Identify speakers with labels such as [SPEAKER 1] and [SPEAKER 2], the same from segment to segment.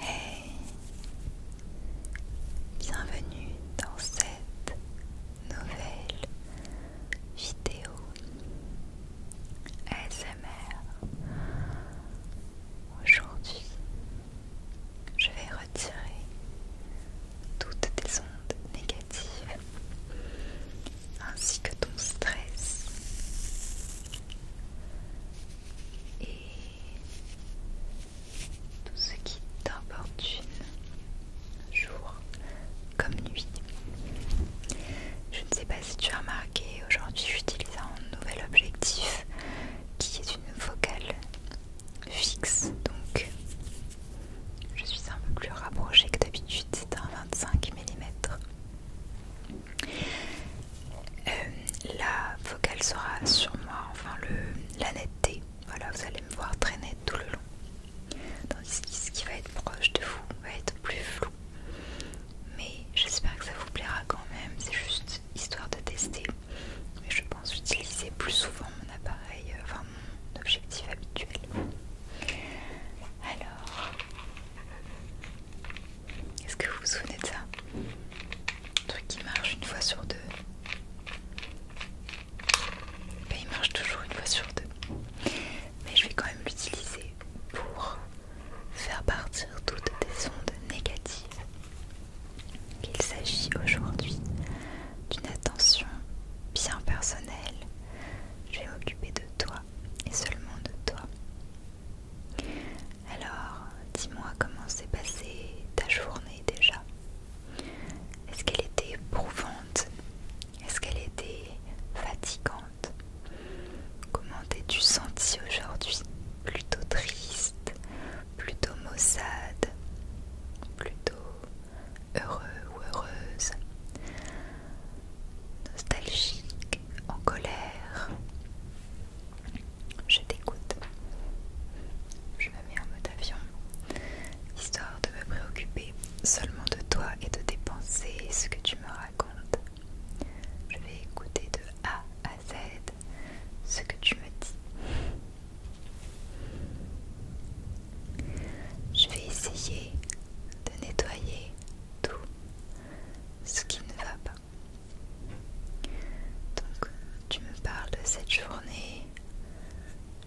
[SPEAKER 1] Hey Bienvenue dans cette nouvelle vidéo ASMR. Aujourd'hui, je vais retirer toutes tes ondes négatives ainsi que ton stress et tout ce qui t'importune, jour comme nuit. Je ne sais pas si tu as remarqué, aujourd'hui j'utilise un nouvel objectif qui est une focale fixe, donc je suis un peu plus rapprochée que d'habitude, c'est un 25 mm. Euh, la focale sera sur moi, enfin le, la netteté. Voilà, vous allez me voir très nette tout le long. Tandis que ce qui va être proche de vous va être plus flou. Mais j'espère que ça vous plaira quand même. C'est juste histoire de tester. Mais je pense utiliser plus souvent mon appareil, euh, enfin mon objectif habituel. Alors, est-ce que vous vous souvenez de ça Un truc qui marche une fois sur deux. Ben, il marche toujours une fois sur deux. Mais je vais quand même l'utiliser pour faire partir toutes tes ondes négatives. Il s'agit aujourd'hui d'une attention bien personnelle. Je vais m'occuper de toi et seulement de toi. Alors, dis-moi comment s'est passée ta journée déjà. Est-ce qu'elle était éprouvante Est-ce qu'elle était fatigante Comment t'es-tu sentie aujourd'hui Plutôt triste, plutôt maussade, plutôt heureux ou heureuse, nostalgique, en colère, je t'écoute. Je me mets en mode avion, histoire de me préoccuper seulement de toi et de tes pensées ce que tu me racontes. Je vais écouter de A à Z ce que tu me dis. Je vais essayer de nettoyer tout ce qui ne va pas. Donc tu me parles de cette journée,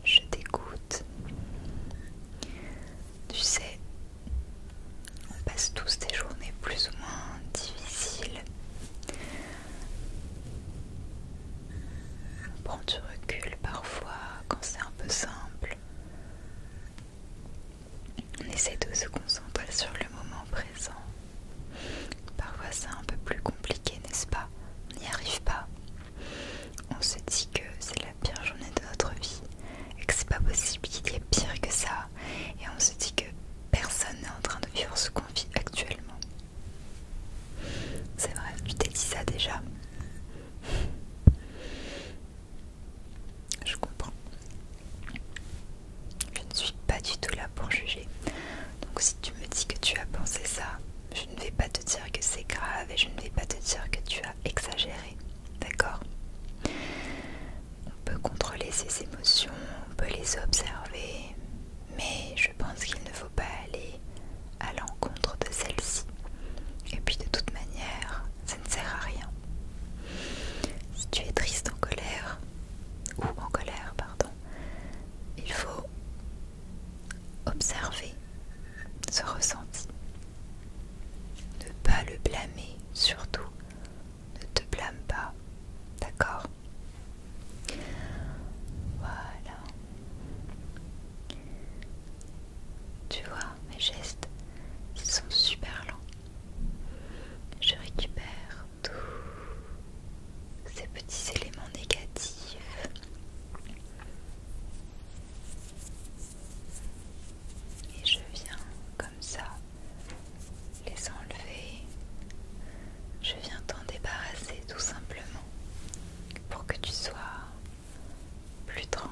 [SPEAKER 1] je t'écoute. Tu sais, on passe tous des journées plus ou moins difficiles. On prend du recul parfois quand c'est un peu simple. On essaie de se concentrer sur le moment présent. Parfois c'est un peu plus compliqué, n'est-ce pas On n'y arrive pas. On se dit que c'est la pire journée de notre vie et que c'est pas possible qu'il y ait pire que ça. Et on se dit que personne n'est en train de vivre ce qu'on vit actuellement. C'est vrai, tu t'es dit ça déjà. Je comprends. Je ne suis pas du tout là pour juger. Donc si tu me dis que tu as pensé ça, je ne vais pas te dire que c'est grave et je ne vais pas te dire que tu as exagéré. D'accord On peut contrôler ses émotions, on peut les observer, mais je pense qu'il ne faut pas aller à l'encontre de celle ci Et puis de toute manière, ça ne sert à rien. Si tu es triste en colère, ou en colère, pardon, il faut observer ce ressenti. Ne pas le blâmer, surtout. Ne te blâme pas, d'accord Voilà. Tu vois, mes gestes, ils sont super lents je récupère tous ces petits éléments négatifs. Et je viens comme ça les enlever. Je viens t'en débarrasser tout simplement pour que tu sois plus tranquille.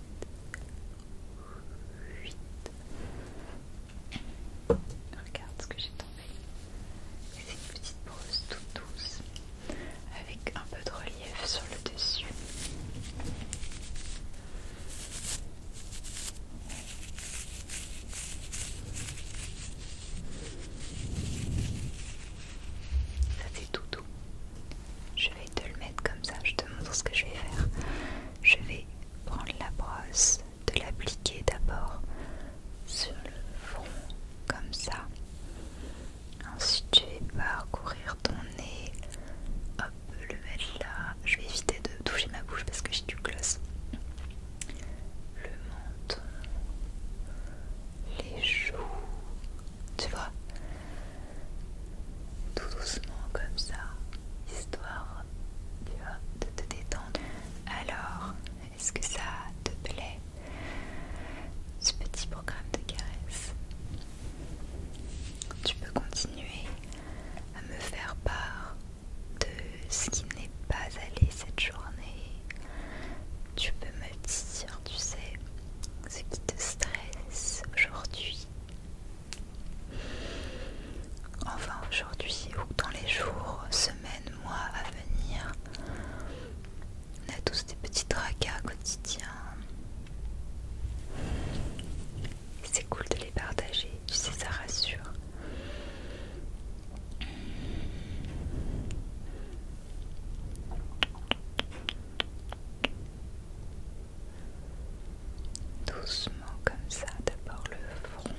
[SPEAKER 1] Regarde ce que j'ai tombé. C'est une petite brosse toute douce avec un peu de relief sur le dessus. Ça fait tout doux. Je vais te le mettre comme ça, je te montre ce que je vais faire je vais prendre la brosse, de l'appliquer d'abord sur le front comme ça. Ensuite, tu vas parcourir ton nez, hop, le mettre là. Je vais éviter de toucher ma bouche parce que j'ai du gloss. Le menton, les joues, tu vois tout doucement comme ça, histoire de te détendre. Alors, est-ce que ça te plaît ce petit programme de caresse Tu peux continuer à me faire part de ce qui n'est pas allé cette journée. Tu peux me dire, tu sais, ce qui te stresse aujourd'hui. Enfin aujourd'hui ou dans les jours, semaines, mois à venir, on a tous des petits tracas quotidiens. C'est cool de les partager, tu sais, ça rassure. Doucement comme ça, d'abord le front,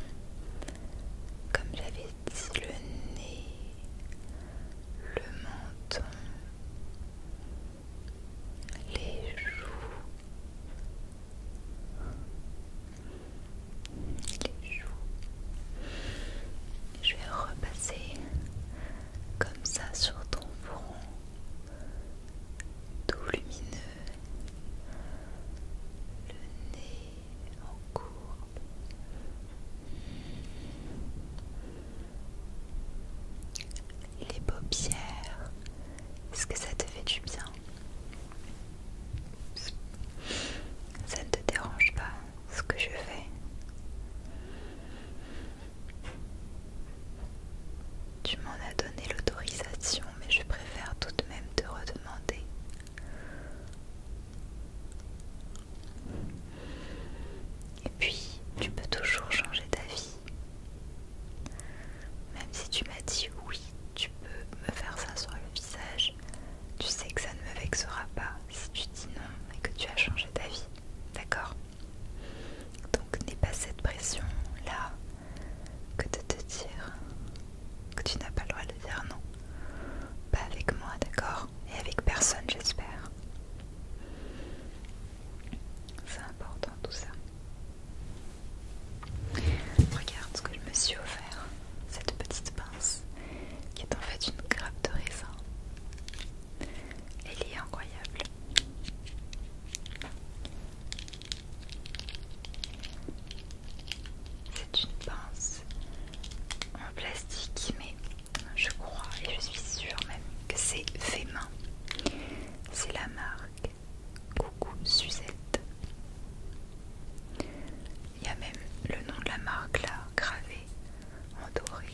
[SPEAKER 1] comme j'avais dit, le nez, le menton, les joues, les joues. Je vais repasser comme ça sur ton front tout lumineux, le nez en courbe, les paupières, est-ce que ça te fait du bien ça ne te dérange pas ce que je fais tu m'en as donné l'autorisation, mais je préfère tout de même te redemander. Et puis, tu peux toujours changer d'avis. Même si tu m'as dit oui, tu peux me faire ça sur le visage. Tu sais que ça ne me vexera pas si tu dis non et que tu as changé d'avis. D'accord donc n'aie pas cette pression là que de te dire que tu n'as pas le droit de dire non. Pas avec moi, d'accord Et avec personne, j'espère. C'est important tout ça. Regarde ce que je me suis offert, cette petite pince qui est en fait une grappe de raisin. Elle est incroyable. C'est une pince en plastique, mais je crois et je suis sûre même que c'est fait main. C'est la marque Coucou Suzette. Il y a même le nom de la marque là gravé en doré.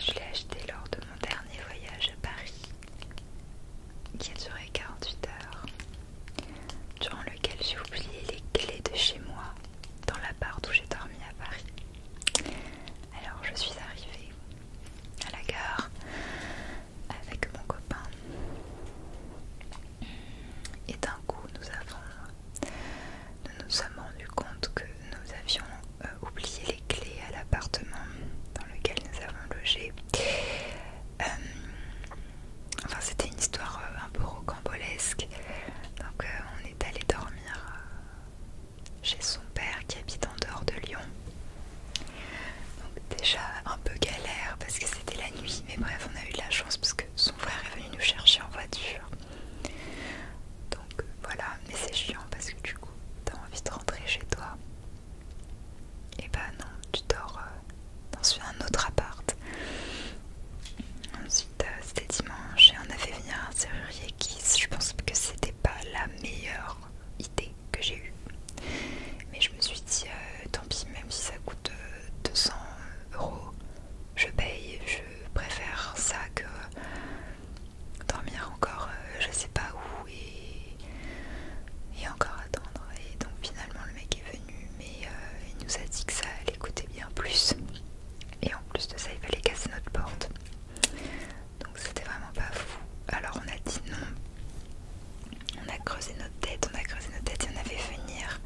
[SPEAKER 1] Je l'ai acheté lors de mon dernier voyage à Paris, qui a duré 48 heures, durant lequel j'ai oublié les clés de chez moi dans la l'appart où j'ai dormi à Paris. Alors je suis arrivée à la gare avec mon copain. Et d'un coup, nous avons, nous nous sommes rendu compte que nous avions euh, oublier oublié les clés à l'appartement dans lequel nous avons logé. Euh, enfin, c'était une histoire euh, un peu rocambolesque. Donc, on est allé dormir chez son père qui habite en dehors de Lyon. Donc, déjà un peu galère parce que c'était la nuit, mais bref, on a eu de la chance parce que son frère est venu nous chercher en voiture. Euh, voilà, mais c'est chiant parce que du coup, t'as envie de rentrer chez toi. Et bah non, tu dors euh, dans un autre appart. Ensuite, euh, c'était dimanche et on a fait venir un serrurier qui, je pense que c'était pas la meilleure idée que j'ai eue. Mais je me suis dit, tant pis, même si ça coûte 200 euros, je paye, je préfère ça que dormir encore euh, je sais pas où et, encore attendre et donc finalement le mec est venu mais euh, il nous a dit que ça allait coûter bien plus et en plus de ça il fallait casser notre porte donc c'était vraiment pas fou alors on a dit non on a creusé notre tête on a creusé notre tête et on a fait venir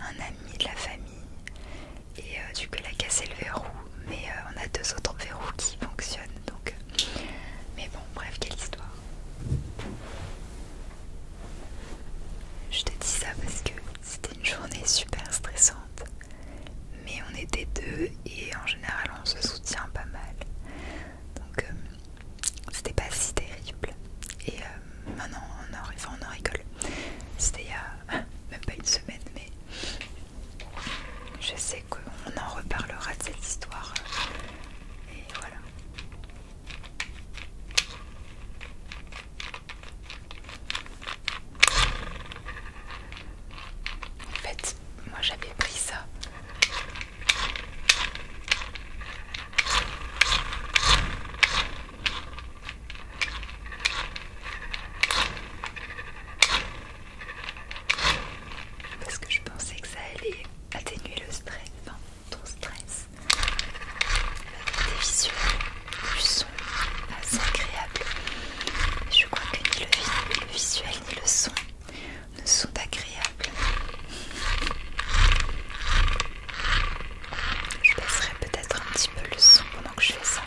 [SPEAKER 1] un ami de la famille et euh, du coup elle a cassé le verrou mais euh, on a deux autres verrous qui fonctionnent donc euh, mais bon bref quelle histoire je te dis ça parce que c'était une journée super stressante mais on était deux et en général on se soutient pas mal donc c'était pas si terrible et maintenant on en, on en rigole c'était il y a même pas une semaine mais je sais qu'on en reparlera de cette histoire. Et voilà. En fait, moi j'avais pris ça. Parce que je pensais que ça allait atténuer le stress, enfin ton stress. Des visuels, du son, assez agréable. Je crois que ni le, visuel ni le son ne sont agréables. Je baisserai peut-être un petit peu le son pendant que je fais ça.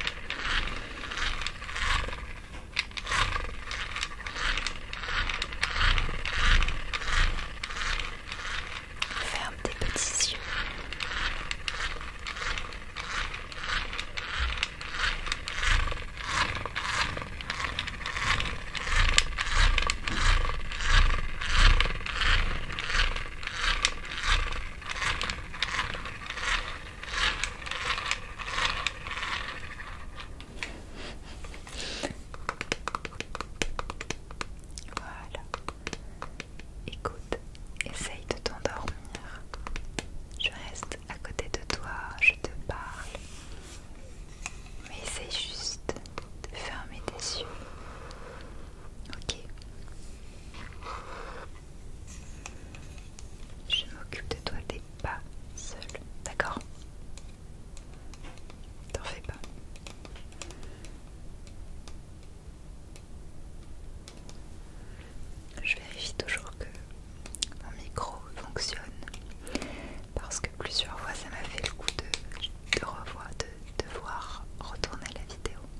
[SPEAKER 1] Ferme des petits yeux. Voilà. Écoute, essaye de t'endormir. Je reste à côté de toi, je te parle. Mais essaye juste de fermer tes yeux. Ok. Je m'occupe de toi, t'es pas seul, d'accord T'en fais pas. Je vérifie toujours que mon micro fonctionne parce que plusieurs fois ça m'a fait le coup de, de devoir retourner la vidéo.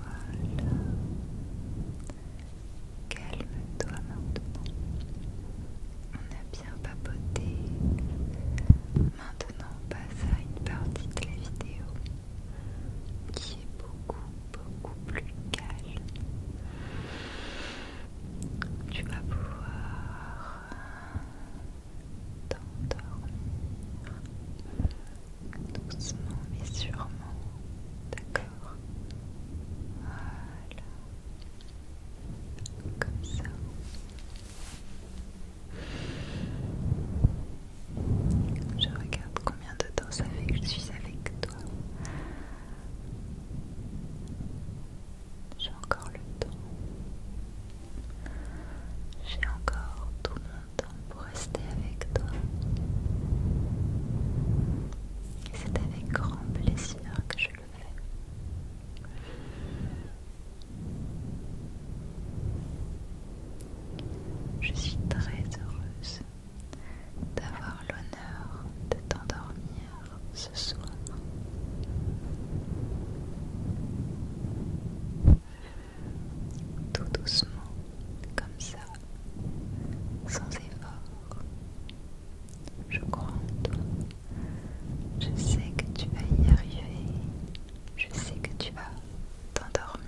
[SPEAKER 1] Voilà. Calme-toi maintenant. On a bien papoté. Maintenant, on passe à une partie de la vidéo qui est beaucoup, beaucoup plus calme. Tu vas pouvoir d'endormir, doucement mais sûrement, d'accord Voilà, comme ça. Je regarde combien de temps ça fait que je suis avec toi. J'ai encore le temps. J'ai encore tout mon temps pour rester avec toi. Et c'est avec grand plaisir que je le fais. Je suis très heureuse d'avoir l'honneur de t'endormir ce soir. Tout doucement, comme ça, sans effort. Je crois en toi. Je sais que tu vas y arriver. Je sais que tu vas t'endormir.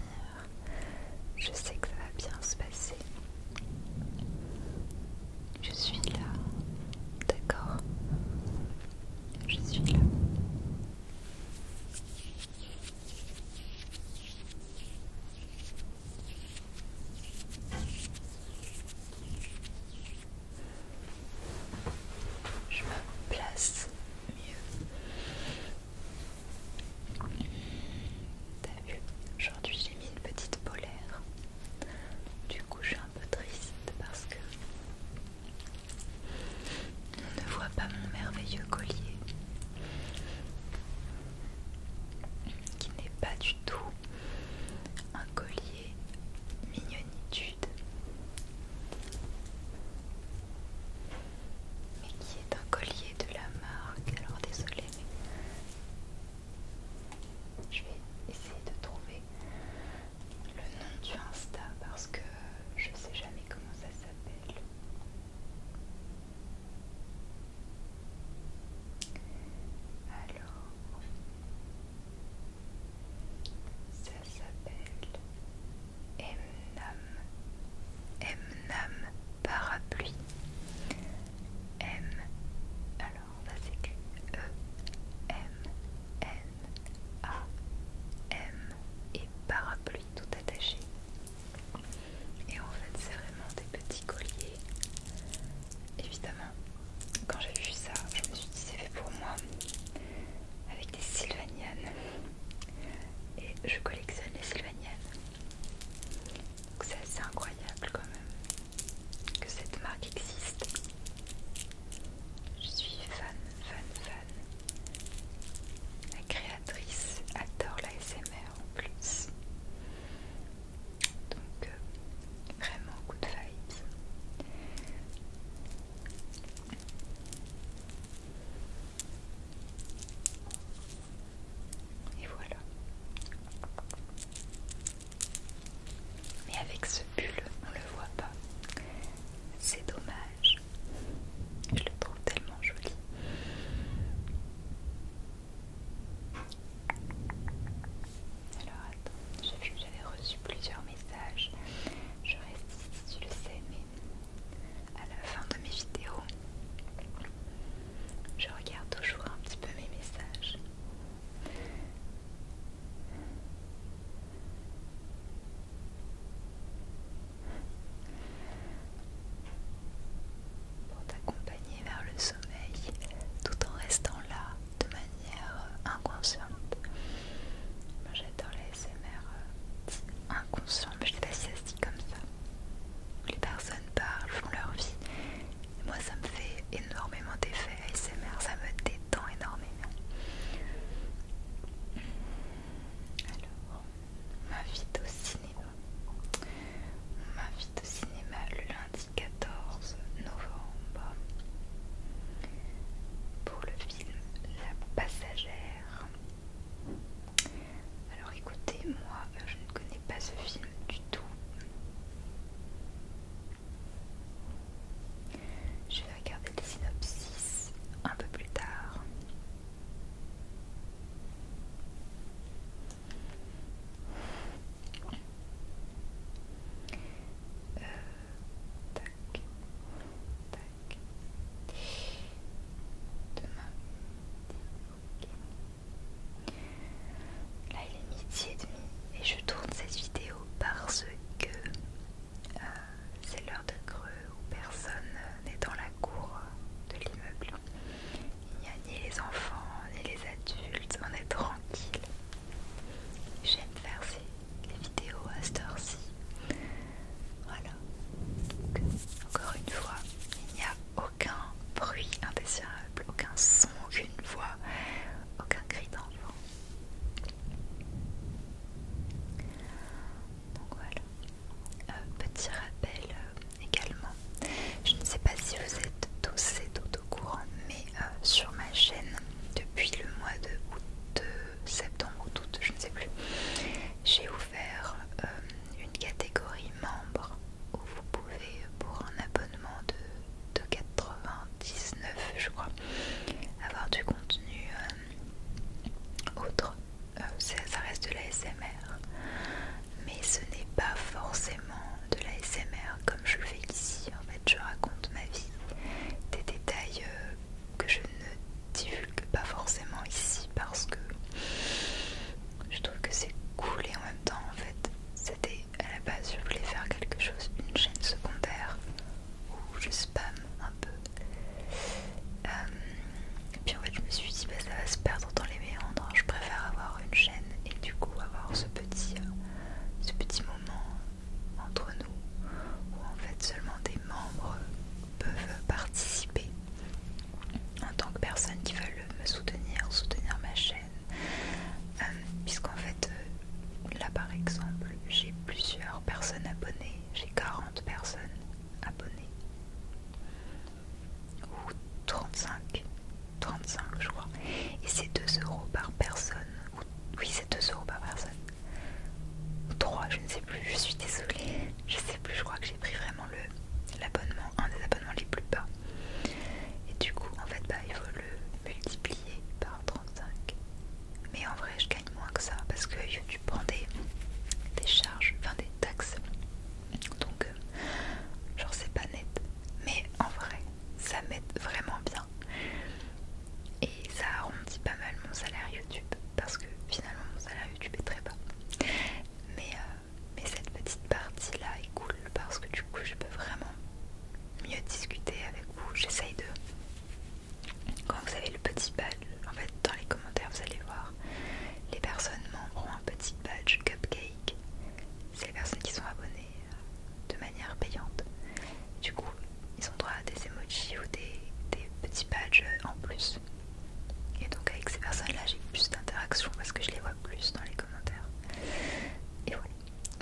[SPEAKER 1] Je sais que ça va bien se passer. Je suis là. D'accord je suis là. Je me place mieux. T'as vu, aujourd'hui j'ai mis une petite polaire. Du coup, je suis un peu triste parce que on ne voit pas mon merveilleux collier qui n'est pas du tout un collier mignonitude mais qui est un collier de la marque alors désolé mais je vais essayer de trouver le nom du Insta parce que je sais jamais comment ça s'appelle. Alors, ça s'appelle Mnam Mnam parapluie. M alors ça s'écrit E M N a M et parapluie tout attaché. Et en fait, c'est vraiment des petits colliers. Évidemment, quand j'ai vu ça, je me suis dit c'est fait pour moi avec des Sylvanian. Et je collectionne les sylvanianes. Donc c'est assez incroyable quand même que cette marque existe. Je suis fan, fan, fan. La créatrice adore l'ASMR en plus. Donc, euh, vraiment vraiment de vibes. Et voilà. Mais avec ce pull, on le voit pas. C'est dommage. Je le trouve tellement joli. Alors attends, j'ai vu que j'avais reçu plusieurs messages. Je reste ici, tu le sais, mais à la fin de mes vidéos, je regarde toujours un petit peu mes messages pour t'accompagner vers le sommeil tout en restant là de manière inconsciente. Moi j'adore l'ASMR euh, Inconscient Mais je sais pas si ça se dit comme ça. Les personnes parlent, font leur vie. Moi ça me fait énormément d'effet ASMR, ça me détend énormément. Alors, on m'invite au cinéma. On m'invite au cinéma le lundi 14 novembre pour le film La Passagère. Alors écoutez, moi je ne connais pas ce film du tout. Je vais regarder les synopsis un peu plus tard. Euh, Là il est midi et demi et je tourne cette vidéo parce que euh, c'est l'heure de creux où personne n'est dans la cour de l'immeuble. Il n'y a ni les enfants, ni les adultes, on est tranquille. J'aime faire les vidéos à cette heure-ci. Voilà. encore une fois, il n'y a aucun bruit indésirable, aucun son, aucune voix, aucun cri d'enfant. Donc voilà. Euh, petit rappel euh, également, je ne sais pas si vous êtes tous et toutes au courant, mais euh, sur ma chaîne, depuis le mois de août, septembre ou août, je ne sais plus, j'ai ouvert une catégorie membre où vous pouvez, pour un abonnement de de 99 je crois avoir du contenu euh, autre euh, ça, reste de la SMR mais ce n'est pas forcément de la SMR comme je le fais ici en fait je raconte ma vie des détails euh, que je ne divulgue pas forcément ici parce que je trouve que c'est cool et en même temps en fait c'était à la base je voulais faire quelque chose, une chaîne secondaire où je spam un peu. Et euh, puis en fait, je me suis dit, bah, ça va se perdre dans les méandres. Hein. Je préfère avoir une chaîne et du coup avoir ce petit, euh, ce petit moment entre nous où en fait seulement des membres peuvent participer en tant que personnes qui veulent me soutenir, soutenir ma chaîne. Euh, puisqu'en fait, là par exemple, j'ai plusieurs personnes abonnées, j'ai 40 personnes abonnées, ou 35, 35 je crois, et c'est 2 euros par personne, ou, oui c'est 2 euros par personne, ou 3, je ne sais plus, je suis désolée, je sais plus, je crois que j'ai pris vraiment l'abonnement, un des abonnements les plus bas, et du coup en fait bah il faut le multiplié par 35. Mais en vrai, je gagne moins que ça parce que YouTube prend des, des charges, enfin des taxes. Donc, euh, genre, c'est pas net. Mais en vrai, ça m'aide vraiment bien. Et ça arrondit pas mal mon salaire YouTube parce que finalement, mon salaire YouTube est très bas. Mais, euh, mais cette petite partie là est cool parce que du coup, je peux vraiment mieux discuter avec vous. J'essaye de quand vous avez le petit badge, en fait dans les commentaires vous allez voir, les personnes membres ont un petit badge cupcake. C'est les personnes qui sont abonnées euh, de manière payante. Du coup, ils ont droit à des emojis ou des, petits badges en plus. Et donc avec ces personnes-là, j'ai plus d'interaction parce que je les vois plus dans les commentaires. Et voilà.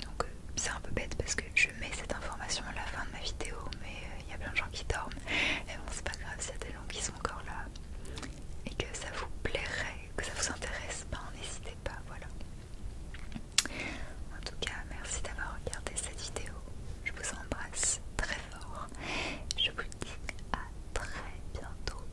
[SPEAKER 1] Donc euh, c'est un peu bête parce que je mets cette information à la fin de ma vidéo, mais euh, il y a plein de gens qui dorment. Et bon, c'est pas grave s'il y a des gens qui sont encore là et que ça vous plairait, que ça vous intéresse, ben n'hésitez pas, voilà. En tout cas, merci d'avoir regardé cette vidéo. Je vous embrasse très fort. Je vous dis à très bientôt.